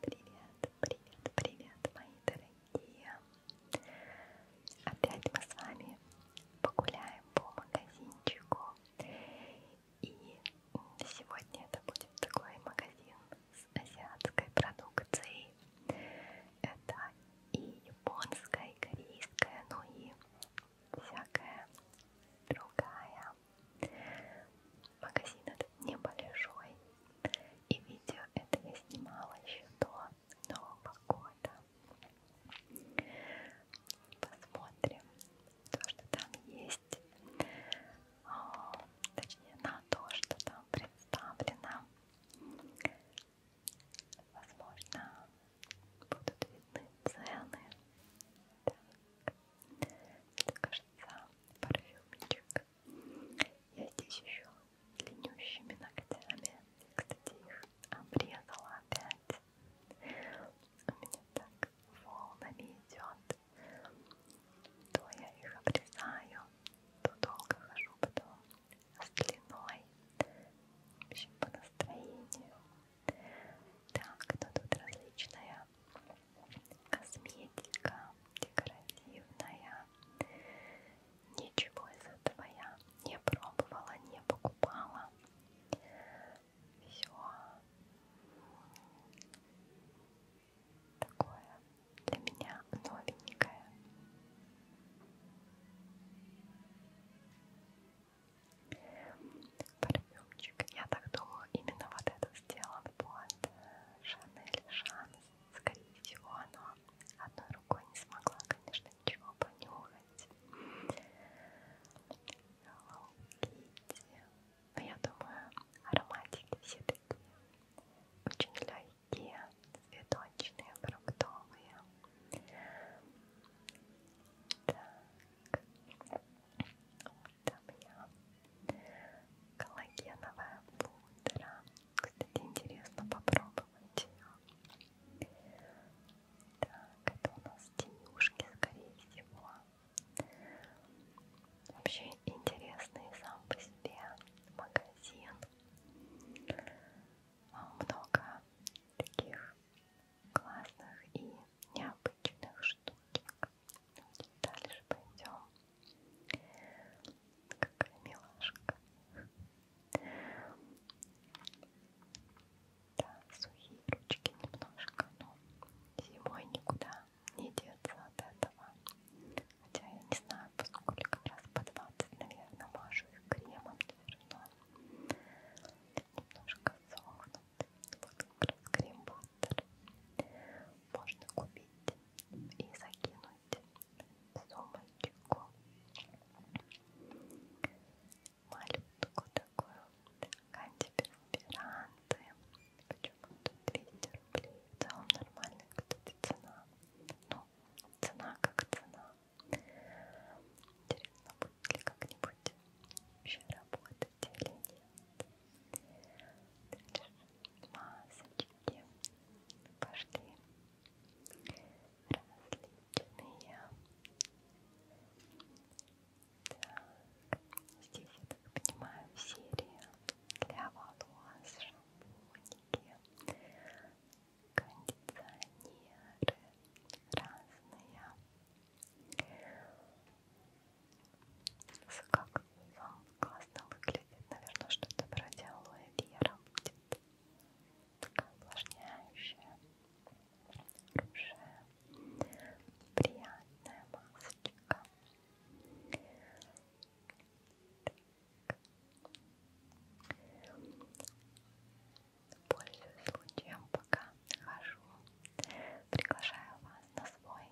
Привет, привет, привет, мои дорогие! Опять мы с вами погуляем по магазинчику. И сегодня это будет такой магазин с азиатской продукцией. Это и японская, и корейская, ну и всякая другая. Магазин этот небольшой. И видео это я снимала еще до Нового года. Посмотрим то, что там есть. О, а, точнее, на то, что там представлено. Возможно, будут видны цены. Так, это, кажется, парфюмчик. Я здесь еще длиннющими ногтями. Кстати, их обрезала опять. У меня так волнами идет. То я их обрезаю, то долго хожу потом с длиной. В общем, по настроению. Так, ну тут различная косметика декоративная. Ничего из этого я не пробовала, не покупала. Все такое для меня новенькое. Парфюмчик. Я так думаю, именно вот этот сделан под Шанель Шан скорее всего, она одной рукой не смогла, конечно, ничего понюхать. Hello Kitty. Но я думаю, ароматики все такие очень легкие, цветочные, фруктовые. Так, вот там я коллагеновая пудра. Кстати, интересно попробовать ее. Так, это у нас тенюшки, скорее всего. Вообще интересный сам по себе магазин. Много таких классных и необычных штучек. Дальше пойдем. Какая милашка. Да, сухие ручки немножко, но зимой никуда не деться от этого. Хотя я не знаю, поскольку раз по 20, наверное, мажу их кремом все равно. Немножко сохнут. Вот как раз крем был центр можно купить и закинуть в сумочку малютку такую антиперспиранты почему-то 200 рублей в целом нормальная, кстати, цена ну, цена как цена интересно, будет ли как-нибудь вообще работать или нет дальше масочки пошли, пошли различные. Так, здесь, я так понимаю, серия для волос, шампуники, кондиционеры разные. Как классно выглядит. Наверное, что-то вроде алоэ вера будет. Такая увлажняющая, хорошая, приятная масочка. Пользуясь случаем, пока хожу, приглашаю вас на свой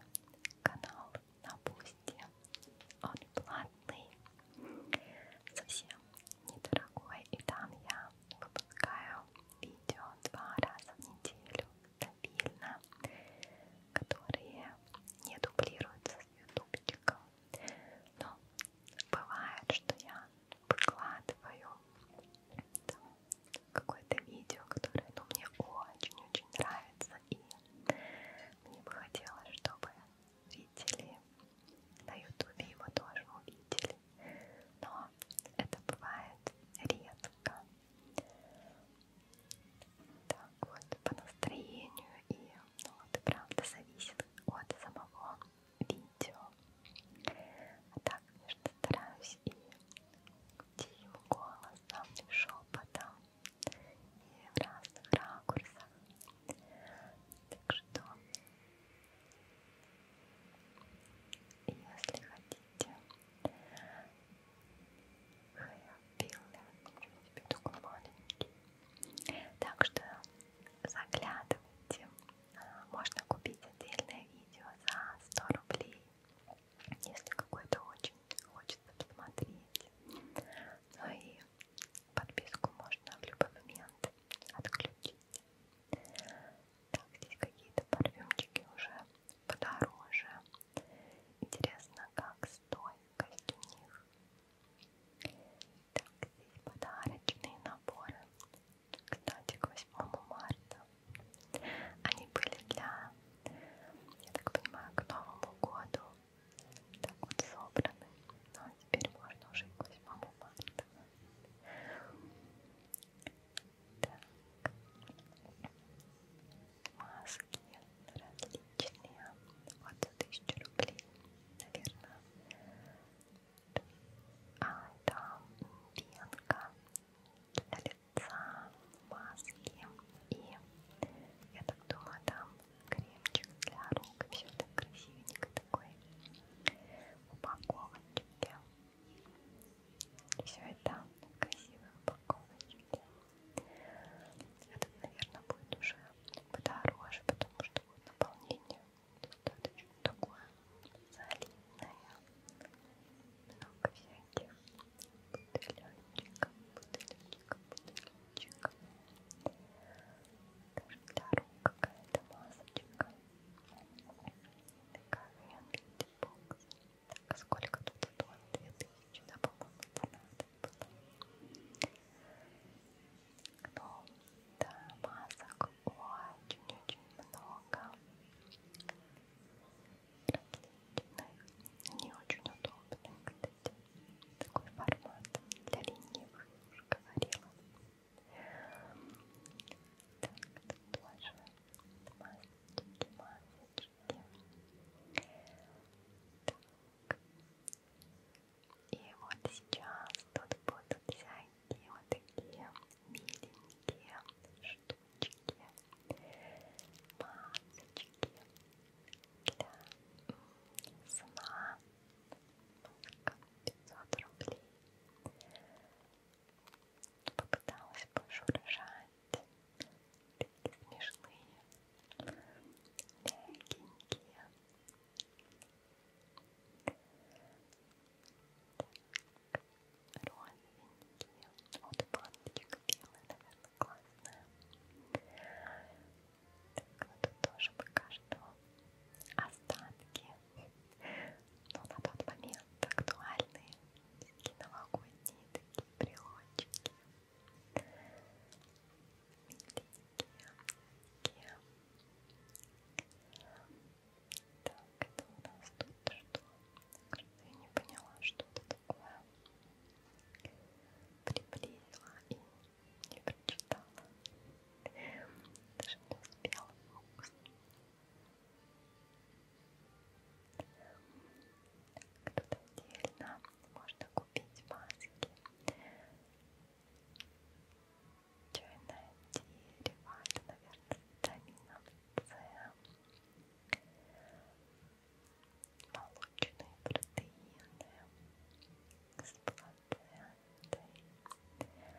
канал на пусте. Он платный, совсем недорогой. И там я выпускаю видео два раза в неделю стабильно, которые не дублируются с ютубчиком. Но бывает, что я выкладываю какое-то видео, которое ну, мне очень-очень нравится, и мне бы хотелось, чтобы зрители на ютубе его тоже увидели. Но это бывает редко. Так вот, по настроению и ну, это правда зависит от самого видео. А так, конечно, стараюсь и тихим голосом, и шепотом и в разных ракурсах. Так что, если хотите хайлбилдинг, маленький, так что заглядывайте. А, можно купить отдельное видео за 100 рублей, если какое-то очень хочется посмотреть. Ну и подписку можно в любой момент отключить. Так, здесь какие-то парфюмчики уже подороже. Интересно, как стойкость у них. Так, здесь подарочные наборы. Кстати, к 8 марта они были для, я так понимаю, к Новому году так вот собраны. Ну, а теперь можно уже к 8 марта. Так. Маски различные. Вот за 1000 рублей, наверное. А там пенка для лица, маски и я так думаю, там кремчик для рук, все так красивенько такой упаковочке. Все это в красивой упаковочке. Этот, наверное, будет уже подороже, потому что вот наполнение достаточно такое солидное. Много всяких бутылечка, бутылечка, бутылечка. Даже для рук какая-то масочка. Такая венкий бокс. Так, а сколько тут стоит? 2000, да, по-моему, цена была. Но, ну, да, масок очень-очень много. Различных не очень удобно, кстати. Такой формат для ленивых, я уже говорила. Так, тут тоже масочки, масочки. Так. И вот сейчас тут будут всякие вот такие миленькие штучки. Масочки, для сна марка 500 рублей попыталась больше урожать такие смешные легенькие так, розовенькие вот баночек белый, наверное классная. Так, ну тут тоже пока что остатки, но на тот момент актуальные такие новогодние такие брелочки, миленькие, такие. Так, это у нас тут что? Кажется, я не поняла, что это такое. Приблизила и не прочитала. Даже не успела фокус. Тут отдельно можно купить маски. Чайное дерево, это, наверное, с витамином С молочные протеины с плацентой, двухлиточные,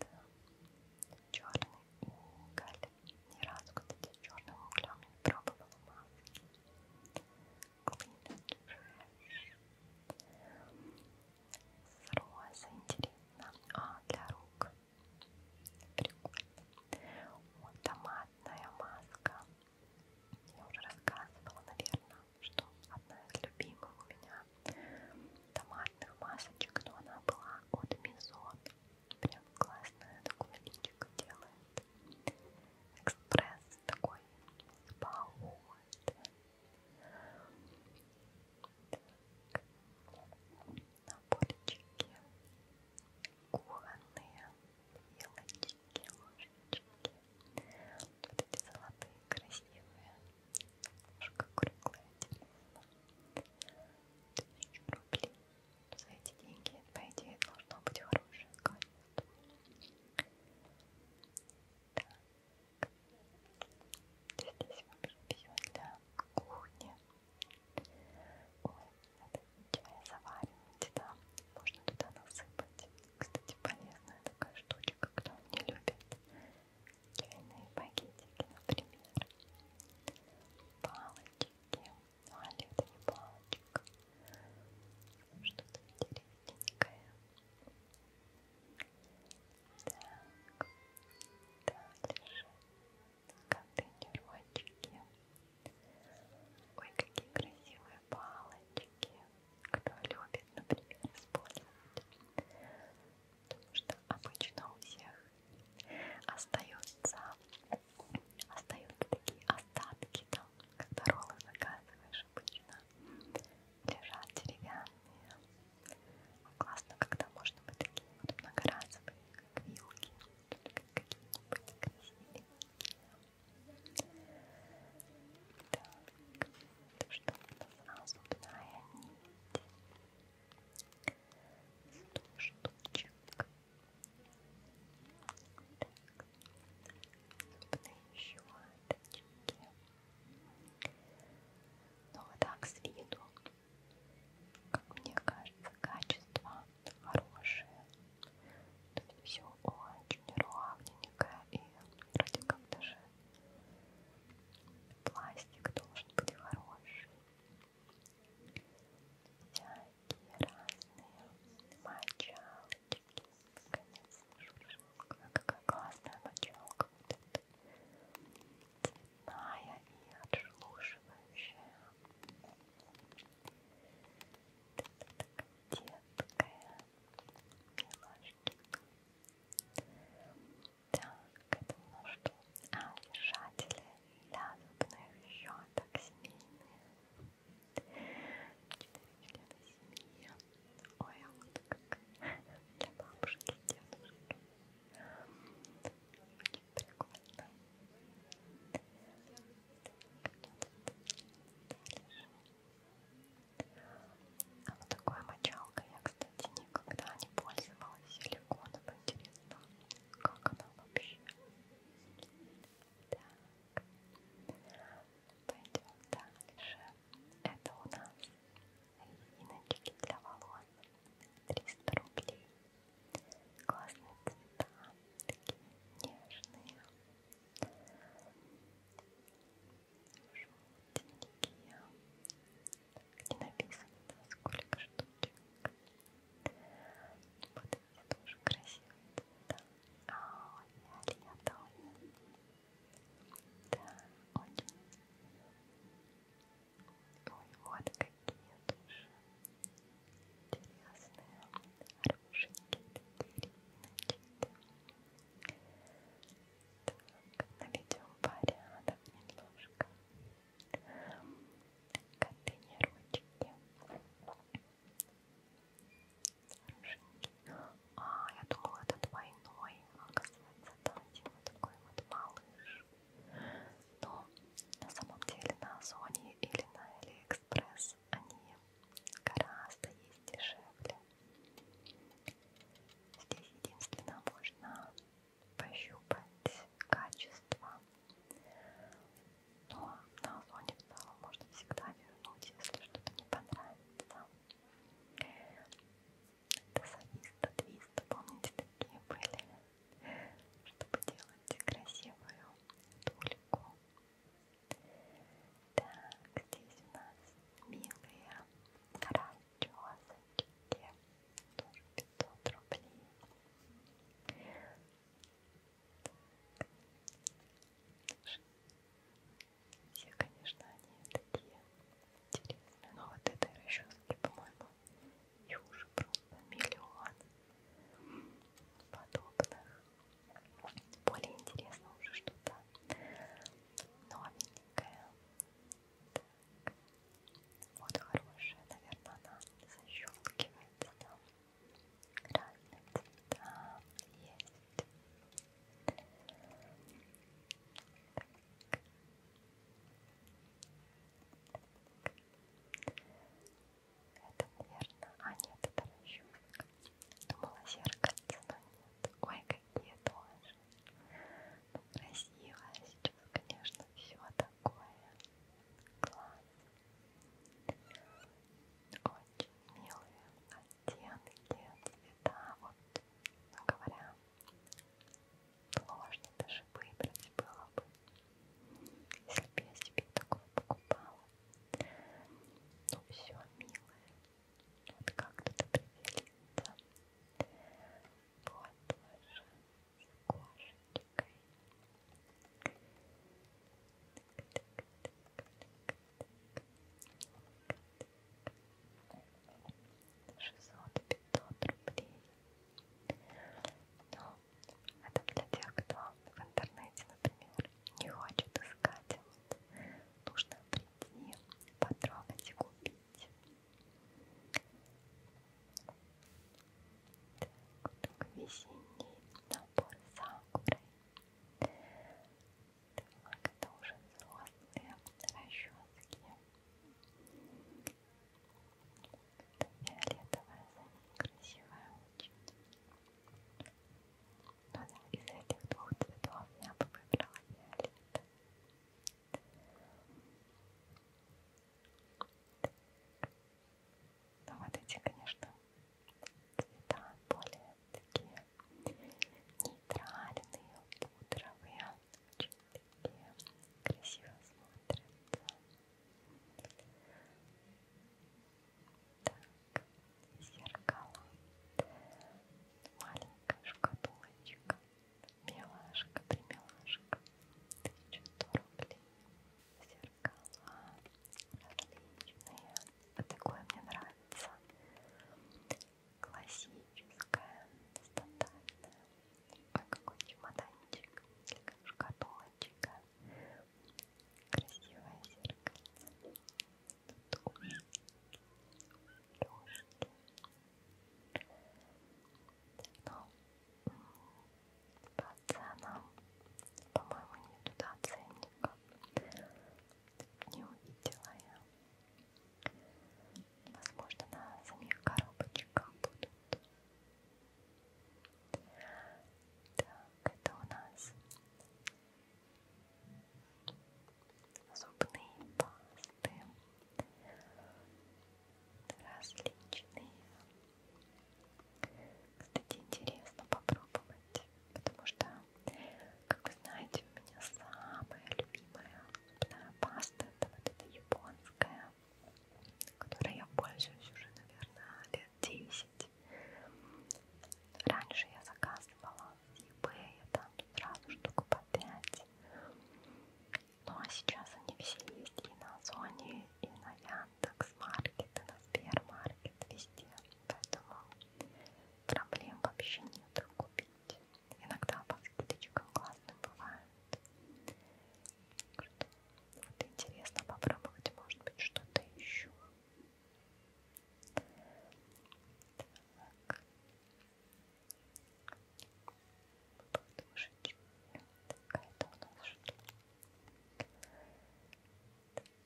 да. черный уголь. Ни разу, кстати, черным углем не пробовала маски. Клинок с розой, интересно. А, для рук. Прикольно. Вот томатная маска. Я уже рассказывала, наверное, что одна из любимых у меня томатных масочек, но она была от Мизон. Прям классная, такое личико делает. Экспресс такой с так наборчики, кухонные вилочки, ложечки, вот эти золотые красивые, немножко круглые, интересно. Тысячу рублей. За эти деньги, по идее, должно быть хорошее качество. Так. Здесь вообще все для кухни. Ой, это чай заваривать, да. Можно туда насыпать. Кстати, полезная такая штучка, кто не любит чайные пакетики, например. Палочки. Ну, а это не палочка. Что-то интересненькое. Так, дальше контейнерочки. Ой, какие красивые палочки. Кто любит, например, использовать. Потому что обычно у всех остаются, остаются такие остатки там, когда роллы заказываешь обычно. Лежат деревянные. Классно, когда можно быть такие вот многоразовые, как вилки. Только какие-нибудь красивые. Так, это что-то сразу вторая нить. Сто штучек. Так, зубные щеточки. Ну вот так с виду, как мне кажется, качество хорошие. То есть все очень ровненько и вроде как даже пластик должен быть хороший. Всякие разные мочалочки. Конечно, какая классная мочалка вот эта. Цветная и отшелушивающая. Ты такая милашечка. Так, это ножки. А, держатели для зубных щеток семейные. Четыре члена семьи. Ой, а вот как для бабушки, дедушки прикольно. А вот такой мочалкой я, кстати, никогда не пользовалась силиконом. Интересно, как она вообще? Так, ну, пойдем дальше. Это у нас резиночки для волос. 300 рублей. Классные цвета, такие нежные, желтенькие, где написано, да, сколько штучек. Вот эти тоже красивые цвета. А, фиолетовые. Да, очень. Ой, вот какие тоже интересные, хорошенькие такие Так, наведем порядок немножко. Контейнерочки. Хорошенькие. А, я думала, это двойной. Оказывается, там один вот такой вот малыш. Но на самом деле на Озоне или на Эликсе Алиэкспресс они гораздо есть дешевле. Здесь единственно можно пощупать качество. Но на зоне в целом можно всегда вернуть, если что-то не понравится. Тасависта, твиста, помните, такие были, чтобы делать красивую тульку. Так, здесь у нас милые карачосочки. Тоже 500 рублей. Все, конечно, они такие интересные. Но вот этой расчески, по-моему, и уже просто миллион подобных. Более интересно уже что-то новенькое. Так. Вот хорошая, наверное, она защелкивается там. Разные цвета есть. Так. Это, наверное... А, нет, это расчетка. Думала, зеркальце, но нет. Ой, какие тоже. Ну, красиво. Сейчас, конечно, все такое. Класс. Очень милые оттенки, цвета. Вот, ну, говоря, сложно даже выбрать было бы. Если бы я себе такое покупала. Ну все, милая. Вот как-то ты приземлится. Вот тоже с кошечкой. Шестьсот пятьсот рублей. Но ну, это для тех, кто в интернете, например, не хочет искать. Вот, нужно прийти, потрогать и купить. Так, весенний набор сакуры. Так, это уже взрослые расчески. Это фиолетовая, красивая очень. Но ну да, из этих двух цветов я бы выбрала фиолет. Но ну, вот эти, конечно, цвета более такие нейтральные, пудровые, очень такие красиво смотрятся. Так, зеркало. Маленькая шкатулочка. Милашка, ты милашка. Тысячу рублей. Зеркала различные. Вот такое мне нравится. Классическое, стандартное. Ой, какой чемоданчик. Шкатулочка красивое зеркальце. Тут уши, лёжки. Но по ценам, по-моему, не туда ценника. Не увидела я. Возможно, на самих коробочках будут так, это у нас зубные пасты различные. Кстати, интересно попробовать, потому что, как вы знаете, у меня самая любимая зубная паста это вот эта японская, которой я пользуюсь уже, наверное, лет 10. Раньше я заказывала с eBay там сразу штуку по 5. Ну а сейчас они все есть и на Озоне, и на Яндекс.Маркет, и на Сбермаркет, везде. Поэтому проблем вообще нет купить. Иногда по скидочкам классным бывают. Вот интересно попробовать, может быть, что-то еще. Так. Подушечка. Какая-то у нас штука.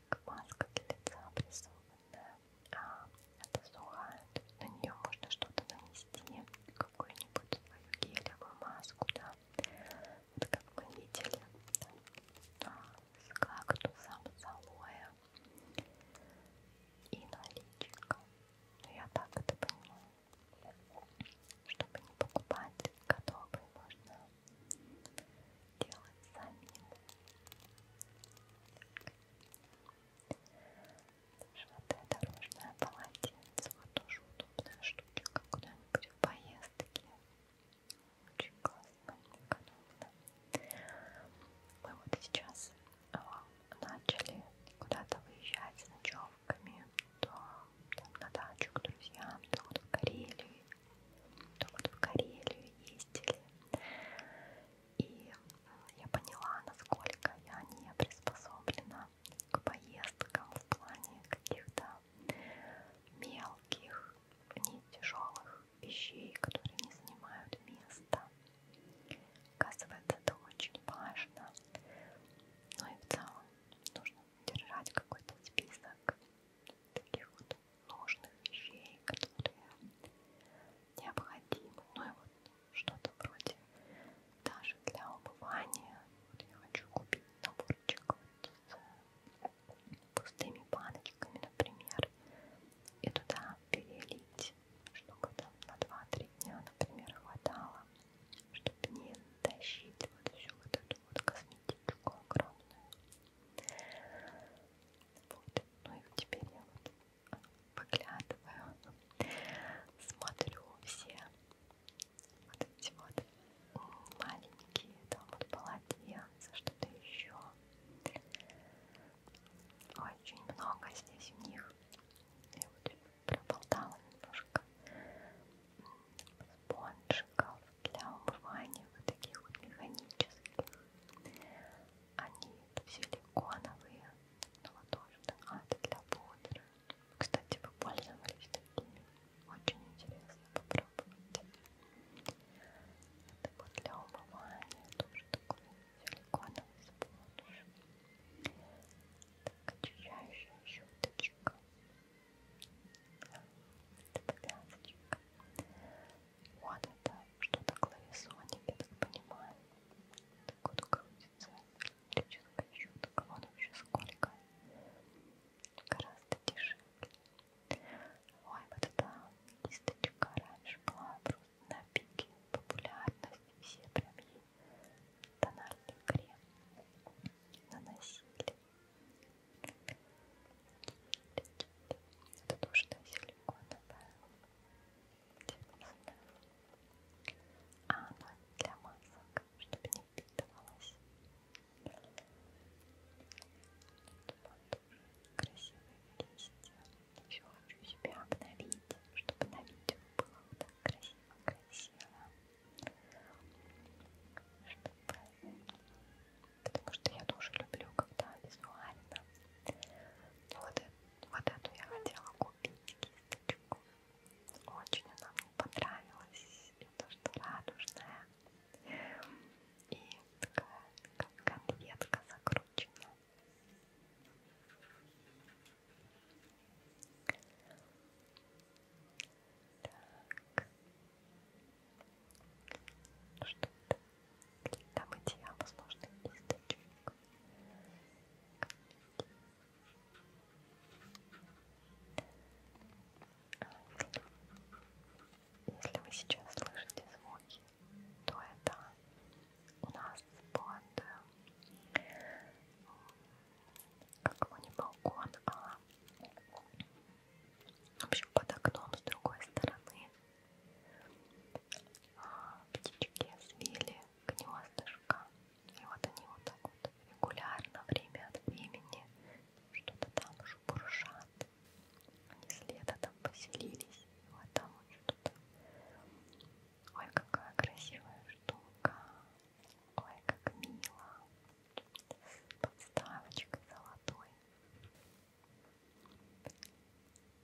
Так, маска для лица обрисованная. А, это сухая. То есть на нее можно что-то нанести. Какую-нибудь свою гелевую маску, да вот как вы видели, да, с кактусом, с алоэ и наличиком. Но ну, я так это понимаю. Чтобы не покупать готовые, можно делать самим. Желтая дорожная полотенце, вот тоже удобная штучка куда-нибудь в поездке. Очень классно, экономно. Мы вот сейчас э, начали куда-то выезжать с ночевками, то там, на дачу к друзьям, то вот в Карелию, то вот в Карелию ездили. И э, я поняла, насколько я не приспособлена к поездкам в плане каких-то мелких, не тяжелых вещей, которые не занимают места. Оказывается, это очень важно. Ну и в целом нужно держать какой-то список таких вот нужных вещей, которые необходимы. Ну и вот что-то вроде даже для умывания. Вот я хочу купить наборчик вот пустыми баночками, например, и туда перелить, чтобы там на 2-3 дня, например, хватало, чтобы не тащить вот всю вот эту вот косметичку огромную. Вот, ну и теперь я вот поглядываю, смотрю все вот эти вот маленькие, там вот полотенца, что-то еще. Очень много здесь у них. Я вот проболтала немножко спонжиков для умывания, вот таких вот механических. Они силиконовые, но тоже да, а, для пудры. Кстати, вы пользовались такими? Очень интересно попробовать. Это вот для умывания тоже такой силиконовый спонж. Так, очищающая щеточка. Это повязочка. Вот это что-то клависоник, я так понимаю. Так вот крутится электрическая щетка. Вот вообще сколько. Гораздо дешевле. Ой, вот эта кисточка раньше была просто на пике популярности. Все прям ей тональный крем наносили. Это тоже на силиконовая. А, ну для масок, чтобы не впитывалась вот красивые листья. Еще хочу себя обновить, чтобы на видео было вот так красиво-красиво. Потому что я тоже люблю, когда визуально. Вот, вот эту я хотела купить кисточку. Очень она мне понравилась. И то, что радужная. И такая, как конфетка закручена. Так. Ну что-то для мытья, возможно, кисточек. Если вы сейчас слышите звуки, то это у нас под э, какого не балкон, а в общем под окном с другой стороны а, птички свели гнездышко. И вот они вот так вот регулярно время от времени что-то там уже буршат. Они с лета там поселились. Вот там вот что-то. Ой, какая красивая штука. Ой, как мило. Подставочка золотой.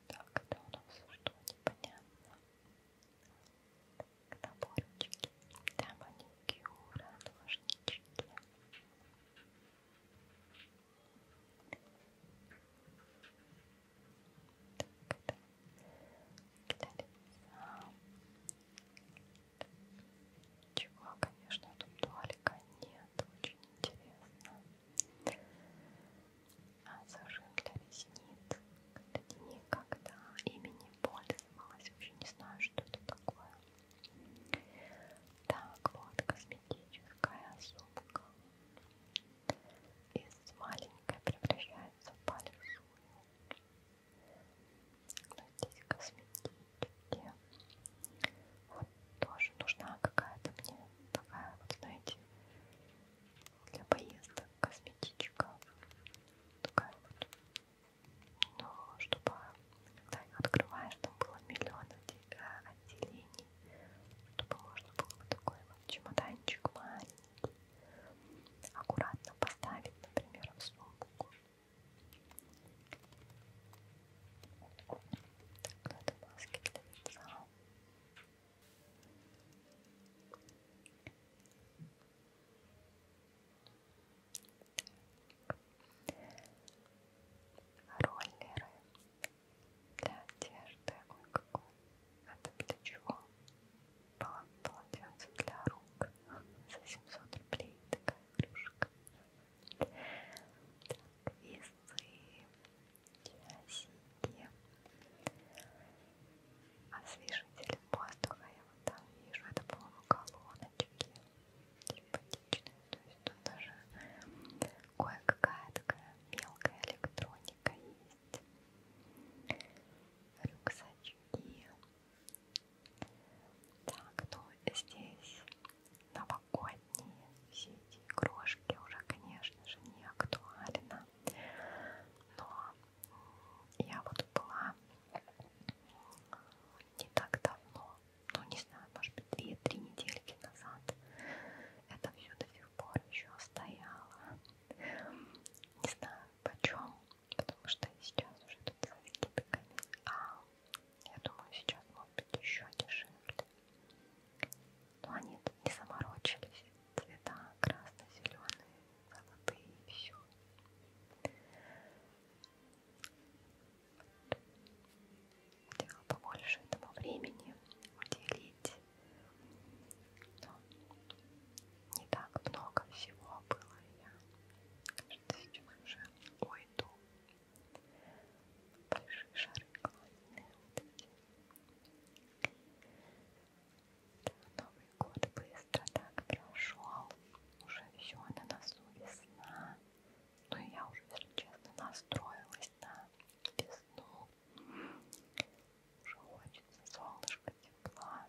Так, это у нас что непонятно. Наборчики для маникюра, ножнички. Чего, конечно, тут туалика нет, очень интересно. А зажим для ресниц, кстати, никогда ими не пользовалась, вообще не знаю, что это такое. Так, вот косметическая сумка. Из маленькой превращается в большую. Но здесь косметики. Вот тоже нужна какая-то мне такая, вот знаете, для поездок косметичка. Такая вот. Но чтобы когда их открываешь, там было миллион э, отделений, чтобы можно было вот такой вот чемоданчик маленький аккуратно поставить, например, в сумку. Вот это маски для лица. роллеры для одежды. Ой, какой. Это для чего? Полотенце для рук. За 700 рублей такая игрушка. Так, весы, часики. Освежитель воздуха я вот там вижу. Это, по-моему, колоночки симпатичная, то есть тут даже кое-какая такая мелкая электроника есть, рюкзачки. Так, ну здесь новогодние все эти игрушки уже, конечно же, не актуально, но я вот была не так давно ну не знаю, может быть, две-три недельки назад это все до сих пор еще стояло. Не знаю почем, потому что сейчас уже тут со скидками, а я думаю, сейчас может быть еще дешевле. Но ну, они тут не заморочились. Цвета красно-зеленые, золотые и все хотела побольше этому времени уделить. Но не так много всего было. Я кажется, сейчас уже уйду. Большие шары классные вот эти. Да, Новый год быстро так прошел. Уже все на носу весна. Ну и я уже, если честно, настроилась весна, весну. Уже хочется солнышко, тепла.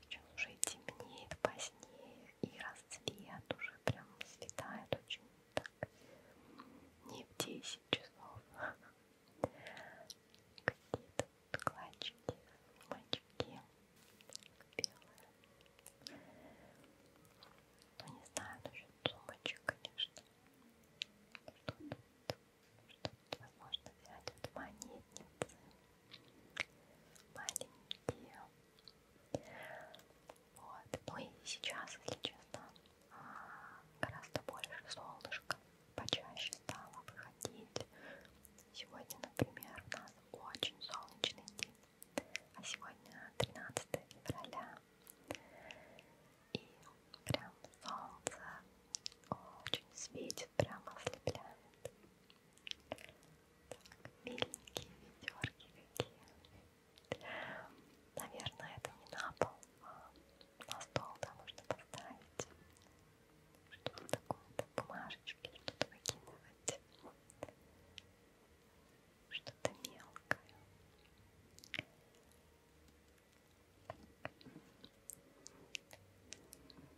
Сейчас уже и темнеет позднее, и расцвет уже прям светает очень так. Не в 10 часов. Какие-то клатчики, мальчики белые. Ну не знаю насчет сумочек, конечно. Что тут? Что тут возможно взять? Вот монетницы. Маленькие. Вот. Ну и сейчас, если честно, а, гораздо больше солнышка. Почаще стало выходить. Сегодня, например, у нас очень солнечный день. А сегодня 13 февраля. И прям солнце очень светит, прям ослепляет. Так, миленькие ведерки какие. Наверное, это не на пол, а на стол там можно поставить. Что-то такое-то, бумажечки, что-то выкидывать что-то мелкое.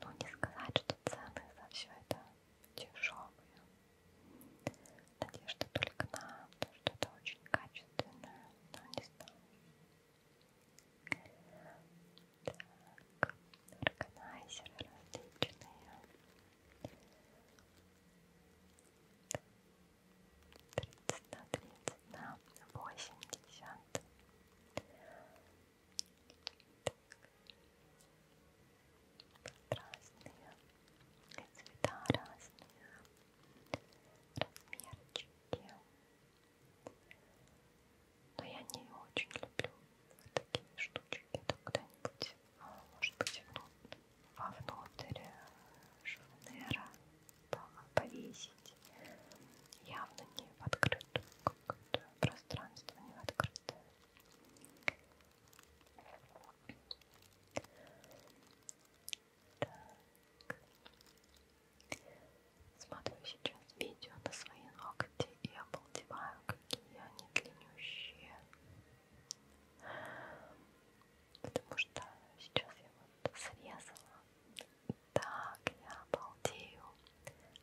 Ну, не сказать, что цены за все это дешевые. Надежда только на то, что это очень качественное, но не знаю. Так, органайзеры различные тридцать на тридцать на восемьдесят. Разные цвета, разные размерчики. Но я не очень люблю вот такие штучки. Это когда-нибудь, может быть, ну, вовнутрь шарнера повесить явно не в открытое какое-то пространство, не в открытое. Так. Смотрю сейчас видео на свои ногти и обалдеваю, какие они длиннющие потому что сейчас я вот срезала. Так, я обалдею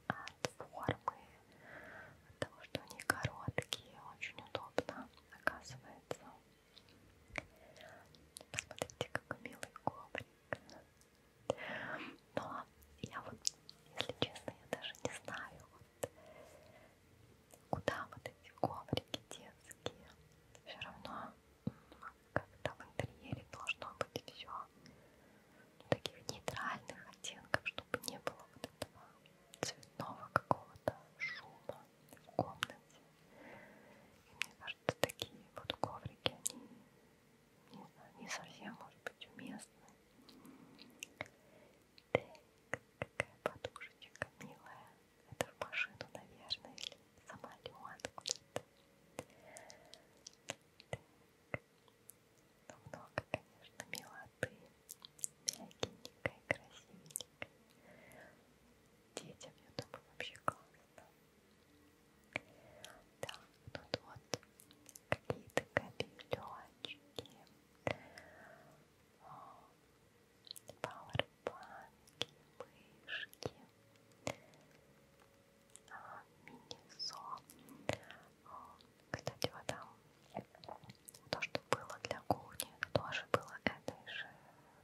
от формы, от того, что они короткие, очень удобно, оказывается. Посмотрите, какой милый коврик. Но ну, а я вот, если честно, я даже не знаю, вот, Куда вот эти коврики детские? Все равно как-то в интерьере должно быть все ну, таких нейтральных оттенков, чтобы не было вот этого цветного какого-то шума в комнате. И мне кажется, такие вот коврики, они не, знаю, не совсем, может быть, уместны. Так, какая подушечка милая. Это в машину, наверное, или самолет куда-то. Ну, много, конечно, милоты. Мягенькая, красивенькая. Детям, я думаю, вообще классно. Да, тут вот какие-то кабелечки. А, пауэрбанки, мышки, а, мини-со. А, кстати, вот там то, что было для кухни, тоже было этой же,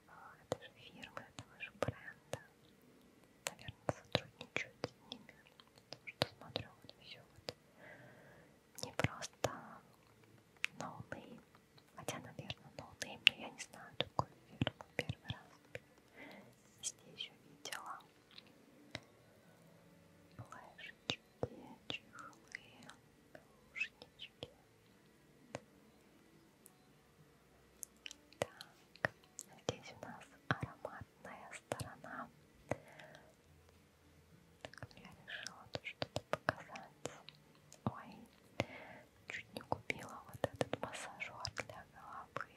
а, этой же фирмы, этого же бренда. Наверное, сотрудничают с ними, потому что смотрю, вот все вот не просто новые Хотя, наверное, ноунейм, но я не знаю такой фирмы первый раз. Везде еще видела. Плэшечки, чехлы, ушнички. Так, здесь у нас ароматная сторона. Так, я решила тут что-то показать. Ой, Чуть не купила вот этот массажер для головы.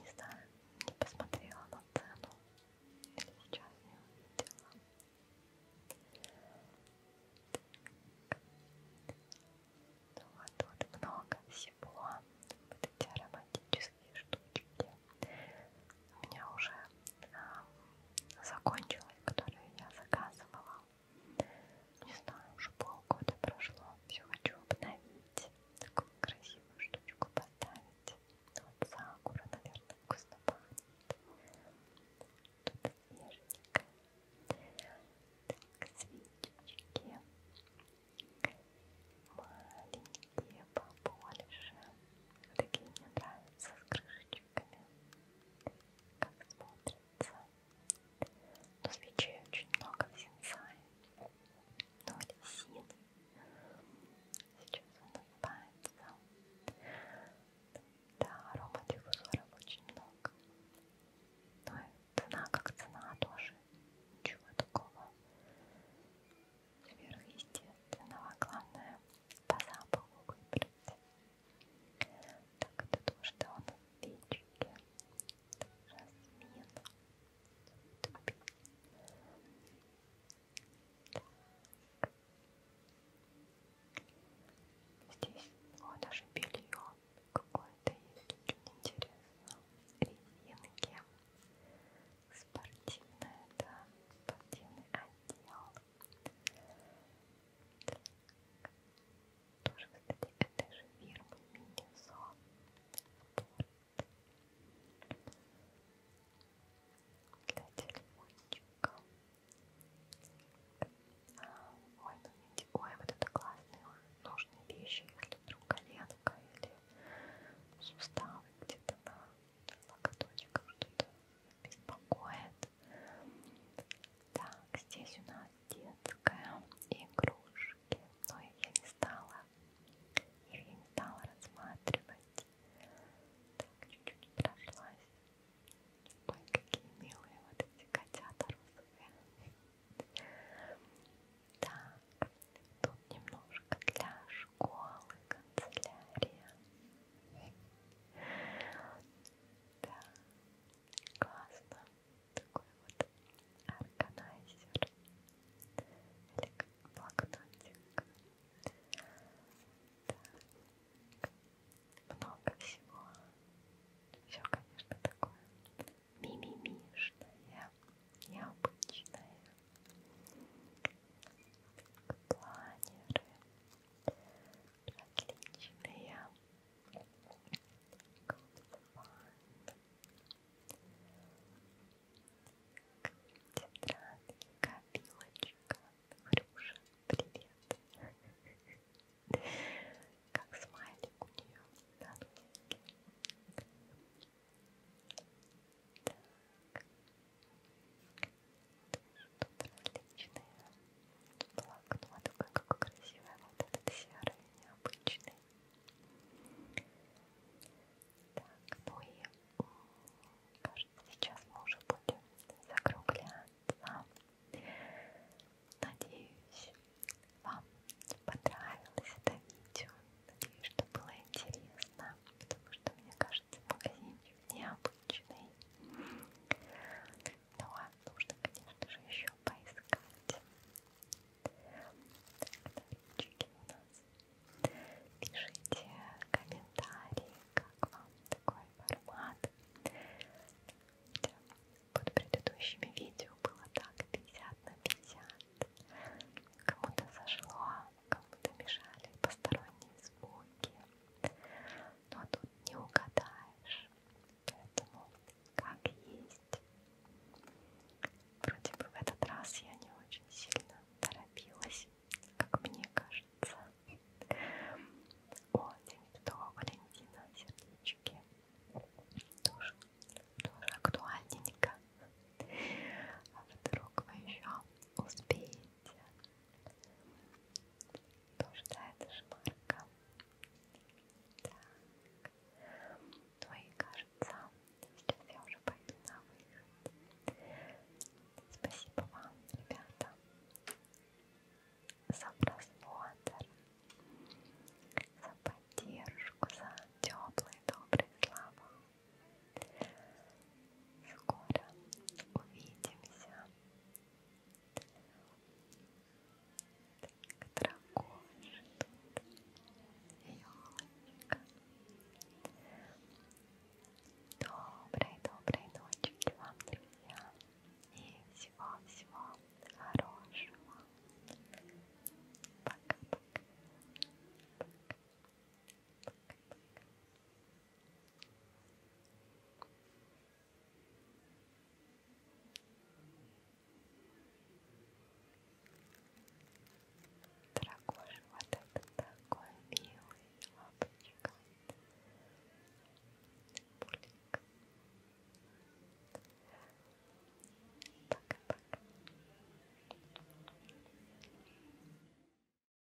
Не знаю, не посмотрела на цену. Сейчас не увидела. Ну вот тут много всего. Вот эти ароматические штучки у меня уже э, а, закончилась, которую я заказывала. Не знаю, уже полгода прошло. Все хочу обновить. Такую красивую штучку поставить. Вот сакура, наверное, вкусно пахнет. Тут снеженькая. Так, свечечки. Маленькие побольше. Такие мне нравятся с крышечками. Как смотрится. Но свечей очень много в синсае. Но ну, лисин. Сейчас он улыбается. Да, аромадиффузоров очень много. Но ну цена как цена тоже. Ничего такого сверхъестественного, главное по запаху выбрать. Так, это то, что у нас печки, жасмин, тупик. Здесь о, даже белье какое-то есть, очень интересно. Резинки спортивная, да, спортивный отдел. Так. Тоже, кстати, это же фирма Минизон Спорт. Для телефончика. Ой, ну видите, ой, вот это классные нужные вещи, если вдруг коленка или суставы где-то на локоточках что-то беспокоит. Так, здесь у нас детская игрушки, но их я не стала, их я не стала рассматривать. Так, чуть-чуть прошлась. Ой, какие милые вот эти котята розовые. Так, тут немножко для школы, канцелярия. Да, классно. Такой вот органайзер или как блокнотик. Так, много всего. Все, конечно, такое мимимишное, необычное планеры различные, тетрадки, копилочка, Хрюша, привет, как смайлик у нее на носике. Так, что-то различное. Блокнот, ой, какой красивый вот этот серый, необычный. Так, ну и кажется, сейчас мы уже будем закругляться. Надеюсь, вам понравилось это видео. Надеюсь, что было интересно, потому что мне кажется, кажется, магазинчик необычный. Ну а нужно, конечно же, еще поискать. Так, новинчики у нас. Пишите комментарии, как вам такой формат. Под предыдущими видео было так 50 на 50. Кому-то зашло, как будто мешали посторонние звуки. Но тут не угадаешь, поэтому как есть. Вроде бы в этот раз я не очень сильно торопилась, как мне кажется. О, Демидова Валентина, сердечки. Тоже, тоже актуальненько. А вдруг вы еще успеете Блуждает шмарка. Так. Ну и кажется, сейчас я уже пойду на выход. Спасибо вам, ребята, за просмотр, за поддержку, за теплые добрые слова. Скоро увидимся. Так, дракош Ёлочка. Доброй, доброй ночи вам, друзья. И всего-всего хорошего. Пока-пока. Дорогой, вот это такой милый лапочка. Пулик. Пока-пока.